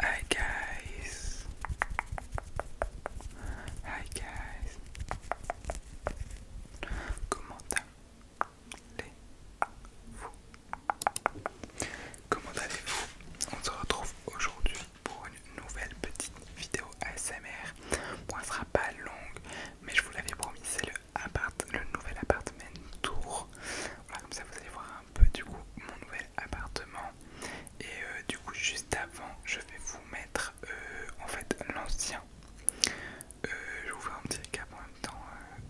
Hi guys. Hi guys. Comment allez-vous Comment allez-vous On se retrouve aujourd'hui pour nouvelle petite vidéo ASMR. Bon, elle sera pas longue, mais je vous l'avais promis, c'est le, le nouvel appartement tour. Voilà, comme ça vous allez voir un peu du coup mon nouvel appartement. Et euh, du coup, juste avant, je vais vous mettre euh, en fait l'ancien. je euh, je vous fais un petit cap en même temps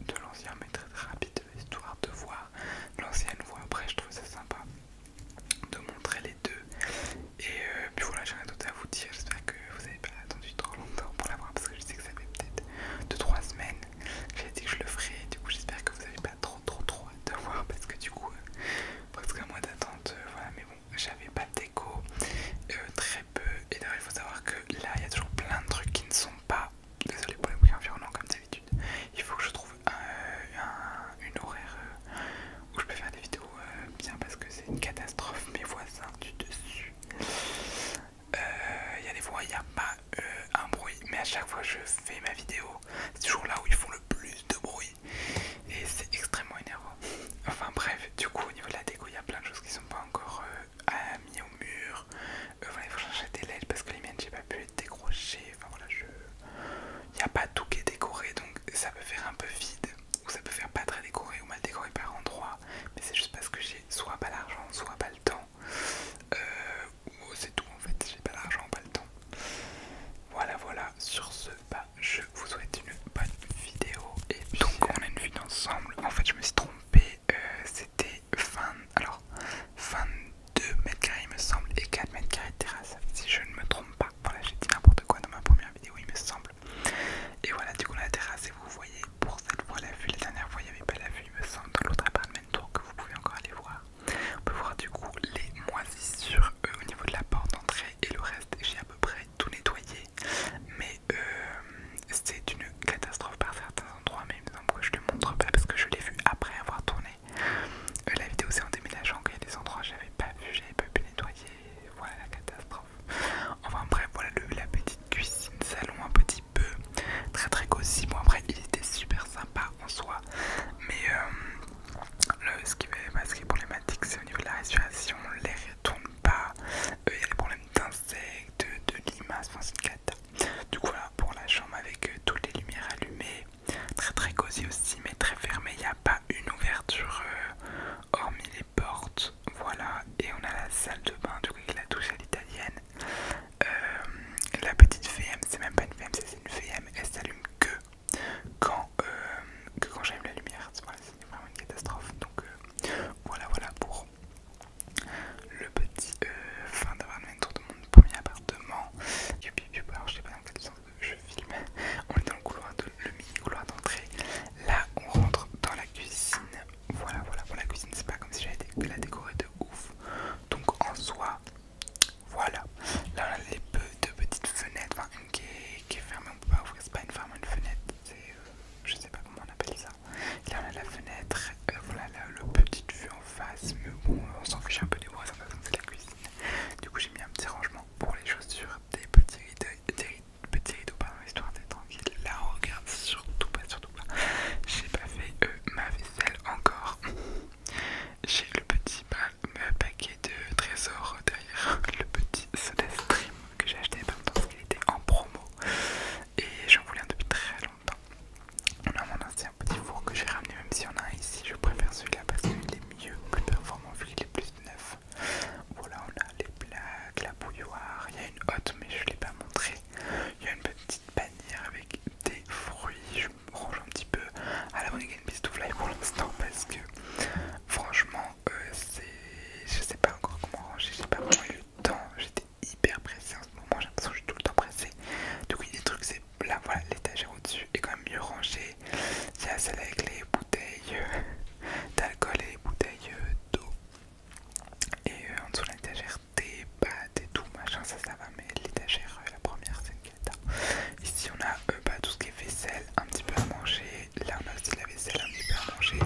de l'ancien, mais très rapide, histoire de voir l'ancienne voix. Après, je trouve ça sympa de montrer et euh, puis voilà, j'aimerais à vous dire. J'espère que vous n'avez pas attendu trop longtemps pour l'avoir parce que je sais que ça fait peut-être 2-3 semaines. J'ai dit que je le ferai. Du coup, j'espère que vous n'avez pas trop, trop, trop hâte de voir parce que du coup, euh, presque un mois d'attente. Euh, voilà, mais bon, j'avais pas de déco, très peu. Et d'ailleurs, il faut savoir que là, il y a toujours plein de trucs qui ne sont pas. Désolé pour les bruits environnants, comme d'habitude. Il faut que je trouve un, une horaire où je peux faire des vidéos euh, bien parce que c'est une catastrophe mes voisins du dessus il euh, y a des fois il n'y a pas euh, un bruit mais à chaque fois que je fais ma vidéo c'est toujours là où ils font le plus de bruit et c'est extrêmement énervant enfin bref du coup au niveau de la déco il y a plein de choses qui sont pas encore mises mis au mur voilà il faut changer des LED parce que les miennes j'ai pas pu les décrocher enfin voilà je il n'y a pas tout qui est décoré donc ça peut faire un peu vide ou ça peut faire pas très décoré ou mal décoré par endroit, mais c'est juste parce que j'ai soit pas l'argent, soit pas le temps. Euh, c'est tout en fait, j'ai pas l'argent, pas le temps. Voilà, voilà, sur ce, pas bah, je vous souhaite une bonne vidéo. Et donc on a une vue d'ensemble en fait je me suis trompé, euh, c'était fin alors 22 mètres carrés il me semble, et 4 mètres carrés de terrasse, si je ne me trompe pas. Voilà, j'ai dit n'importe quoi dans ma première vidéo, il me semble. Et voilà, du coup, la terrasse, et vous voyez pour cette fois la vue. La dernière fois, il n'y avait pas la vue, il me semble, dans l'autre appartement tour que vous pouvez encore aller voir. On peut voir du coup les moisissures au niveau de la porte d'entrée et le reste, j'ai à peu près tout nettoyé. Mais euh, c'est une catastrophe par certains endroits, mais il me semble je le montre pas parce que je l'ai vu après avoir tourné. Euh, la vidéo c'est en déménageant qu'il y a des endroits que j'avais pas vu, j'avais pas pu nettoyer. Voilà la catastrophe. Enfin bref, voilà la petite cuisine salon un petit peu très très cosy. Bon après il était super sympa en soi, mais euh, le, bah, ce, qui est, problématique c'est au niveau de la respiration, l'air ne pas, il y a des problèmes d'insectes, de, limaces, Du coup voilà pour la chambre avec euh, toutes les lumières allumées, très très cosy aussi mais très fermé, il n'y a pas une ouverture euh, hormis les portes, voilà, et on a la salle de bain, du coup il la douche à l'italienne. Euh, la petite VM, c'est même pas une VM, c'est une VM, elle s'allume euh, que quand, j'allume la lumière, c'est vraiment une catastrophe. Donc voilà, voilà pour le petit fin d'avoir tour de mon premier appartement. du alors je sais pas dans quel sens je filme. On est dans le couloir de le mini couloir d'entrée. Là, on rentre dans la cuisine. Voilà, voilà. Pour la cuisine, c'est pas comme si j'avais la décorer de ouf. Donc en soi, voilà. Là, on a les deux petites fenêtres, enfin une qui est, fermée. On peut pas ouvrir. C'est pas une ferme, une fenêtre. C'est, euh, je sais pas comment on appelle ça. Là, on a la fenêtre. Euh, voilà, le petite vue en face. Mais bon, on s'en fiche un peu des voisins. C'est la cuisine. Du coup, j'ai mis un petit rangement pour les chaussures, des petits rideaux, des rideaux Petit rideau, pas, histoire d'être tranquille. Là, regarde surtout pas, surtout pas. J'ai pas fait euh, ma vaisselle encore. J'ai le petit paquet de trésors derrière le petit soda stream que j'ai acheté parce qu'il était en promo et j'en voulais un depuis très longtemps. On a mon ancien petit four que j'ai ramené, même si on a un ici, je préfère celui-là parce qu'il est mieux, plus performant, vu qu'il est plus neuf. Voilà, on a les plaques, la bouilloire, il y a une hotte mais je ne l'ai pas montré. Il y a une petite bannière avec des fruits. Je me range un petit peu à la bonne Fly pour l'instant parce que franchement, euh, c'est... Je sais pas encore comment ranger, j'ai pas vraiment eu le temps. J'étais hyper pressée en ce moment, j'ai l'impression que je suis tout le temps pressée. Du coup, il y a des trucs, c'est là, voilà, l'étagère au-dessus est quand même mieux rangée. Il y a celle avec les bouteilles d'alcool et bouteille bouteilles d'eau. Et euh, en dessous de l'étagère, des pâtes et tout, machin, ça, ça va, mais l'étagère, euh, la première, c'est une quête. Hein. Ici, on a euh, bah, tout ce qui est vaisselle, un petit peu à manger. Là, on a aussi de la vaisselle, un petit peu à manger.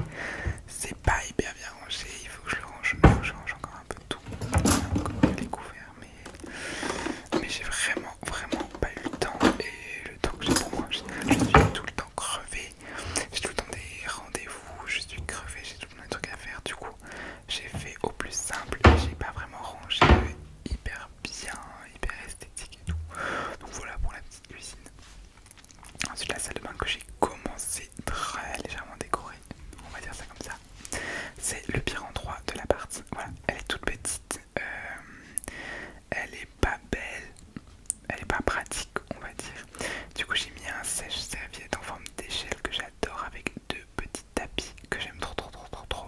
C'est pas hyper bien rangé, il faut que je le range, je range encore un peu tout. les couverts, mais, mais j'ai vraiment, vraiment pas eu le temps donc Je, suis tout le temps crevé, j'ai tout le temps des rendez-vous, je suis crevé, j'ai tout le temps des trucs à faire. Du coup, j'ai fait au plus simple j'ai pas vraiment rangé hyper bien, hyper esthétique et tout. Donc voilà pour la petite cuisine. Ensuite, la salle de bain que j'ai commencé très légèrement décorée, on va dire ça comme ça. C'est le pire endroit de l'appart. Voilà, elle est toute petite. Euh, elle est pas belle, elle est pas pratique, on va dire. Du coup, j'ai mis un sèche-serviette en forme d'échelle que j'adore avec deux petits tapis que j'aime trop, trop, trop, trop, trop.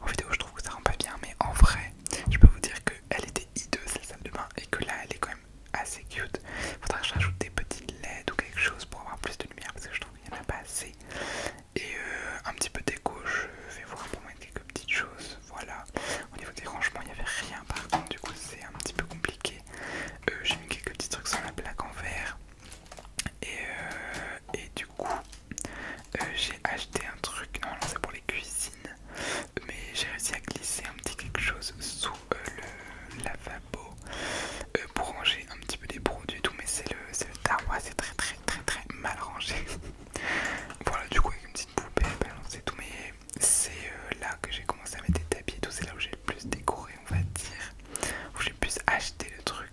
En vidéo, je trouve que ça rend pas bien, mais en vrai, je peux vous dire qu'elle était hideuse la salle de bain et que là, elle est quand même assez cute. Faudra que je rajoute des petites LED ou quelque chose pour avoir plus de lumière parce que je trouve qu'il n'y en a pas assez. Et euh, un petit peu déco, je vais vous raconter quelques petites choses voilà. Au niveau des rangements, il n'y avait rien par contre, du coup c'est un petit peu compliqué. Euh, j'ai mis quelques petits trucs sur la plaque en verre. Et, euh, et du coup, euh, j'ai acheté un truc, non, c'est pour les cuisines, mais j'ai réussi à glisser un petit quelque chose sous le lavabo pour ranger un petit peu des produits tout, mais c'est le, le c'est très très très très mal rangé. voilà, du coup, avec une petite poupée, et tout, c'est euh, là que j'ai commencé à mettre des tapis et tout, c'est là où j'ai le plus décoré, on va dire, où j'ai le plus acheté le truc.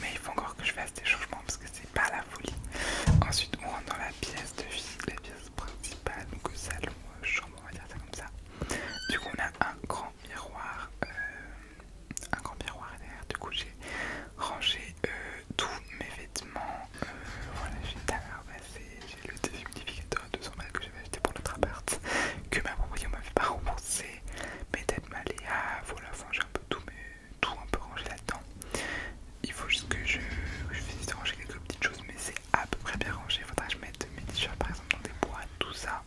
Mais il faut encore que je fasse des changements parce que c'est pas la folie. Ensuite, on rentre dans la pièce de vie, la pièce principale, donc salon, euh, chambre, on va dire ça comme ça. Du coup, on a un grand miroir, euh, un grand miroir derrière. Du coup, j'ai rangé euh, tous mes vêtements. Euh, voilà, j'ai passé j'ai le déshumidificateur à 200 balles que j'avais acheté pour notre appart, que ma propriétaire m'avait pas remboursé, mes têtes maléas, voilà, enfin j'ai un peu tout, tout un peu rangé là-dedans. Il faut juste que je, je finisse de ranger quelques petites choses, mais c'est à peu près bien rangé. Faudra que je mette mes t-shirts par exemple dans des boîtes, tout ça.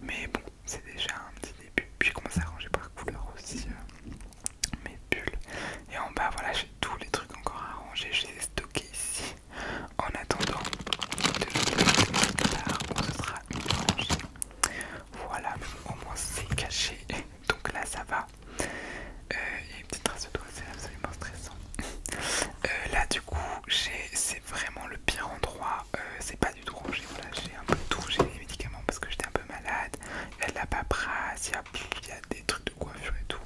Mais bon, c'est déjà un petit début. Puis je commence à ranger par couleur aussi. Euh, mes bulles. Et en bas, voilà, j'ai tous les trucs encore à ranger. Je les ai stockés ici en attendant de plus tard où ce sera rangé. Voilà, au moins c'est caché. Donc là, ça va. Euh, il y a une petite trace de doigt, c'est absolument stressant. Euh, là, du coup, j'ai c'est vraiment le pire endroit. Euh, c'est pas du tout rangé. Voilà, j'ai un peu tout. J'ai des médicaments parce que j'étais un peu malade. Il y a de la paperasse, il y a des trucs de coiffure et tout.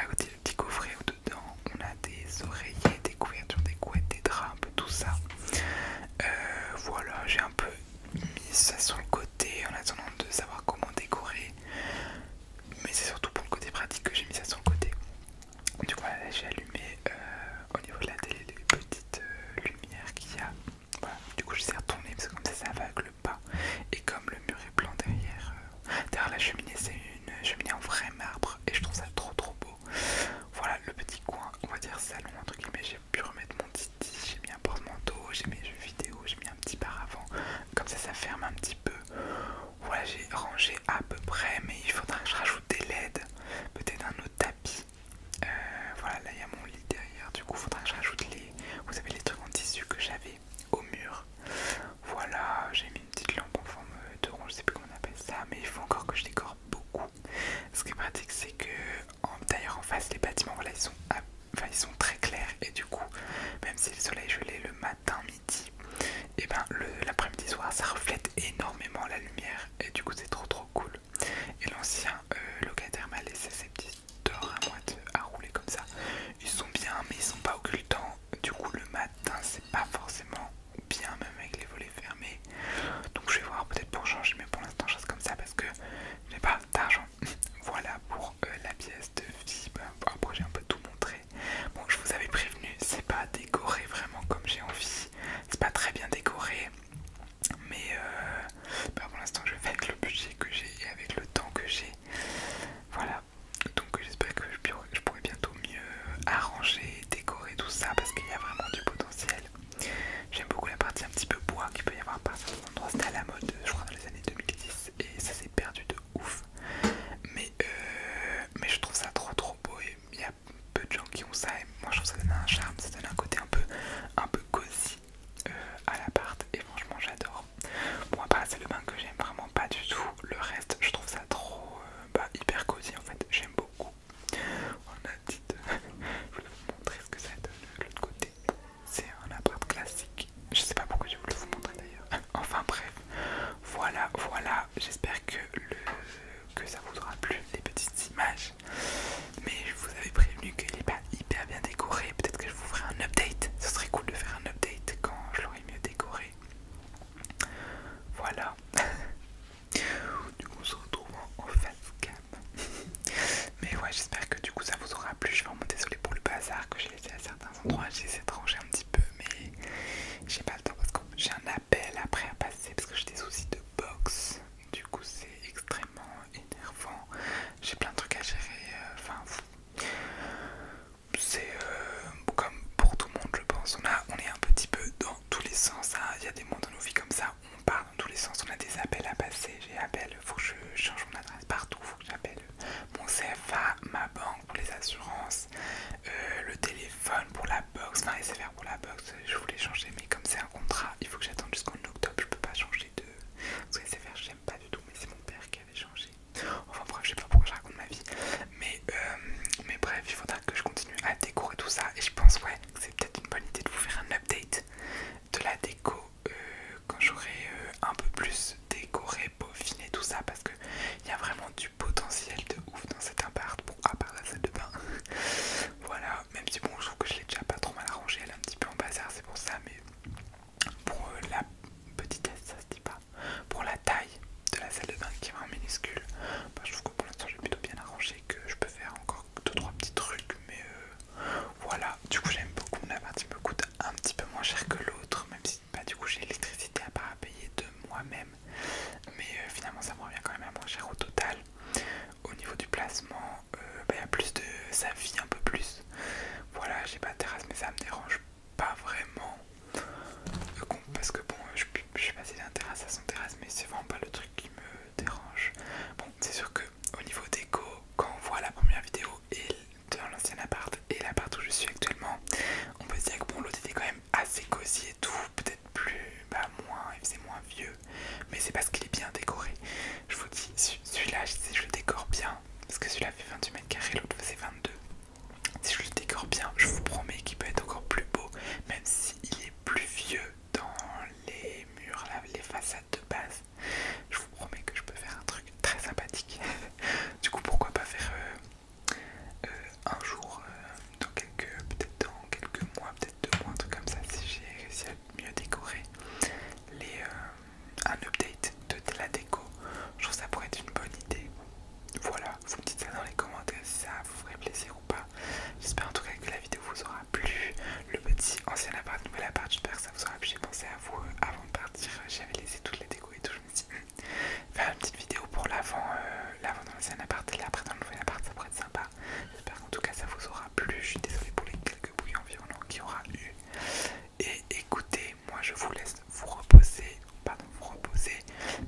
À côté, le petit coffret au-dedans, on a des oreillers, des couvertures, des couettes, des draps, un peu tout ça. Euh, voilà, j'ai un peu mis ça sur le côté en attendant de savoir comment décorer. Mais c'est surtout pour le côté pratique que j'ai mis ça sur le côté. Du coup, j'ai allumé euh, au niveau de la télé les petites euh, lumières qu'il y a. Du coup, je les ai retournées parce que comme ça, ça va avec pas. Et comme le mur est blanc derrière, euh, derrière la cheminée, c'est une cheminée en vrai marbre et je trouve ça trop trop beau. Voilà le petit coin, on va dire salon entre guillemets. J'ai pu remettre mon titi, j'ai mis un porte-manteau, j'ai mis jeux vidéo, j'ai mis un petit paravent. Comme ça, ça ferme un petit peu. Voilà, j'ai rangé à peu près, mais il faudra que je rajoute des LED, peut-être un autre tapis. Euh, voilà, là il y a mon lit derrière, du coup, il faudra que je rajoute les. Vous avez les trucs en tissu que j'avais au mur. Voilà, j'ai mis une petite lampe en forme de rond, je sais plus comment on appelle ça, mais il faut encore que je décore beaucoup. Ce qui est pratique, c'est que d'ailleurs en face, les bâtiments, voilà, ils sont, très clairs et du coup, même si le soleil est le matin, midi, et eh ben l'après-midi soir, ça reflète énormément la lumière et du coup, c'est trop trop cool. Et l'ancien euh, locataire m'a laissé petits d'or à à rouler comme ça. Ils sont bien, mais ils sont pas occultants. Du coup, le matin, c'est pas forcément bien, même avec les volets fermés. Donc, je vais voir peut-être pour changer, mais pour l'instant, je reste comme ça parce que j'ai pas d'argent. voilà pour euh, la pièce de vie. après, j'ai un peu tout montré. Bon, je vous avais prévenu, c'est pas décoré vraiment comme j'ai envie. C'est pas très bien décoré, mais euh, bah, pour l'instant, je vais avec le budget que j'ai et avec le temps que j'ai. Voilà, donc j'espère que je pourrai bientôt mieux euh, arranger, décorer tout ça parce qu'il y a vraiment du potentiel. J'aime beaucoup la partie un petit peu bois qui peut y avoir par que l'endroit c'était à la mode je crois dans les années 2010 et ça s'est perdu de ouf. Mais, euh, mais je trouve ça trop trop beau et il y a peu de gens qui ont ça et moi je trouve ça donne un charme, ça donne un côté un peu, un peu cosy à euh, à l'appart et franchement j'adore. Bon bah, pas c'est le bain que j'aime vraiment pas du tout. Le reste je trouve ça trop euh, bah, hyper cosy en fait. J'aime beaucoup. On a dit je voulais vous montrer ce que ça donne de l'autre côté. C'est un appart classique. Je sais pas pourquoi je voulais vous montrer d'ailleurs. enfin bref. Voilà, voilà. J'espère que que ça vous aura plu les petites images. Mais je vous avais prévenu qu'il est pas hyper bien décoré. Peut-être que je vous ferai un update. Ce serait cool de faire un update quand je l'aurai mieux décoré. Voilà. du coup, on se retrouve en face Mais ouais, j'espère que du coup ça vous aura plu. Je suis vraiment désolée pour le bazar que j'ai laissé à certains endroits. J'ai essayé de ranger un petit peu, mais j'ai pas le temps parce que j'ai un appel après à passer parce que j'ai des soucis de box. Du coup, c'est extrêmement énervant. J'ai plein de trucs à gérer. Euh, enfin, c'est euh, comme pour tout le monde, je pense. On, a, on est un petit peu dans tous les sens. Hein. Il y a des moments dans nos vies comme ça, on part dans tous les sens. On a des appels à passer. J'ai appel, faut que je change mon adresse partout. Faut que j'appelle mon CFA, ma banque pour les assurances, euh, le téléphone pour la box, enfin SFR pour la box. Je voulais changer, mais comme c'est un contrat, il faut que j'attende jusqu'en octobre. Je peux pas changer de. Parce que SFR, j'aime pas du tout, mais c'est mon père qui avait changé. Enfin bref, je sais pas pourquoi je raconte ma vie. Mais, euh, mais bref, il faudra que je continue à décorer tout ça. Et je pense ouais que c'est peut-être une bonne idée de vous faire un update de la déco euh, quand j'aurai euh, un peu plus décoré, peaufiné tout ça parce que il y a vraiment du potentiel de ouf dans cet appart. Bon à part la salle de bain. voilà, même si bon je trouve que je l'ai déjà pas trop mal arrangé, elle est un petit peu en bazar, c'est pour ça mais pour la petitesse, ça se dit pas, pour la taille de la salle de bain qui est vraiment minuscule, bah, je trouve que pour l'instant j'ai plutôt bien arrangé, que je peux faire encore 2-3 petits trucs, mais euh, voilà, du coup j'aime beaucoup, la il me coûte un petit peu moins cher que l'autre, même si pas bah, du coup j'ai l'électricité à part à payer de moi-même, mais euh, finalement ça me revient quand même à moins cher au total. Au niveau du placement, euh, bah, il y a plus de... ça vit un peu plus voilà j'ai pas de terrasse mais ça me dérange pas vraiment euh, parce que bon je, je suis passé d'un terrasse à son terrasse mais c'est vraiment pas le truc qui me dérange bon c'est sûr que au niveau déco quand on voit la première vidéo et dans l'ancien appart et l'appart où je suis actuellement on peut se dire que bon l'autre était quand même assez cosy et tout peut-être plus bah moins il moins vieux mais c'est parce qu'il est bien décoré je vous dis celui-là je le décore bien parce que celui-là fait 28 mètres carrés, l'autre faisait 22. Si je le décore bien, je vous promets qu'il peut être encore plus beau, même s'il est plus vieux dans les murs, les façades de base. Je vous promets que je peux faire un truc très sympathique. du coup, pourquoi pas faire euh, euh, un jour, euh, dans quelques, peut-être dans quelques mois, peut-être deux mois, un truc comme ça, si j'ai réussi à mieux décorer les, un update de la déco. Je trouve ça pourrait être une bonne idée. Voilà, vous me dites ça dans les commentaires si ça vous ferait plaisir ou pas. J'espère en tout cas que la vidéo vous aura plu. Le petit ancien appart, nouvel appart, j'espère que ça vous aura plu. J'ai pensé à vous euh, avant de partir. J'avais laissé toutes les déco et tout. Je me suis dit, hmm, faire une petite vidéo pour l'avant euh, L'avant dans l'ancien appart et l'après dans le nouvel appart, ça pourrait être sympa. J'espère qu'en tout cas ça vous aura plu. Je suis désolée pour les quelques bruits environnants qu'il y aura eu. Et écoutez, moi je vous laisse vous reposer, pardon, vous reposer,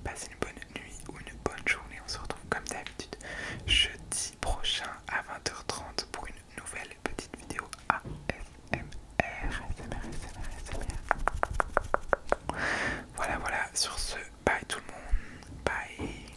passez une bonne nuit ou une bonne journée. On se retrouve comme d'habitude jeudi prochain à 20h30 pour une nouvelle petite vidéo ASMR. Voilà, voilà, sur ce, bye tout le monde, bye.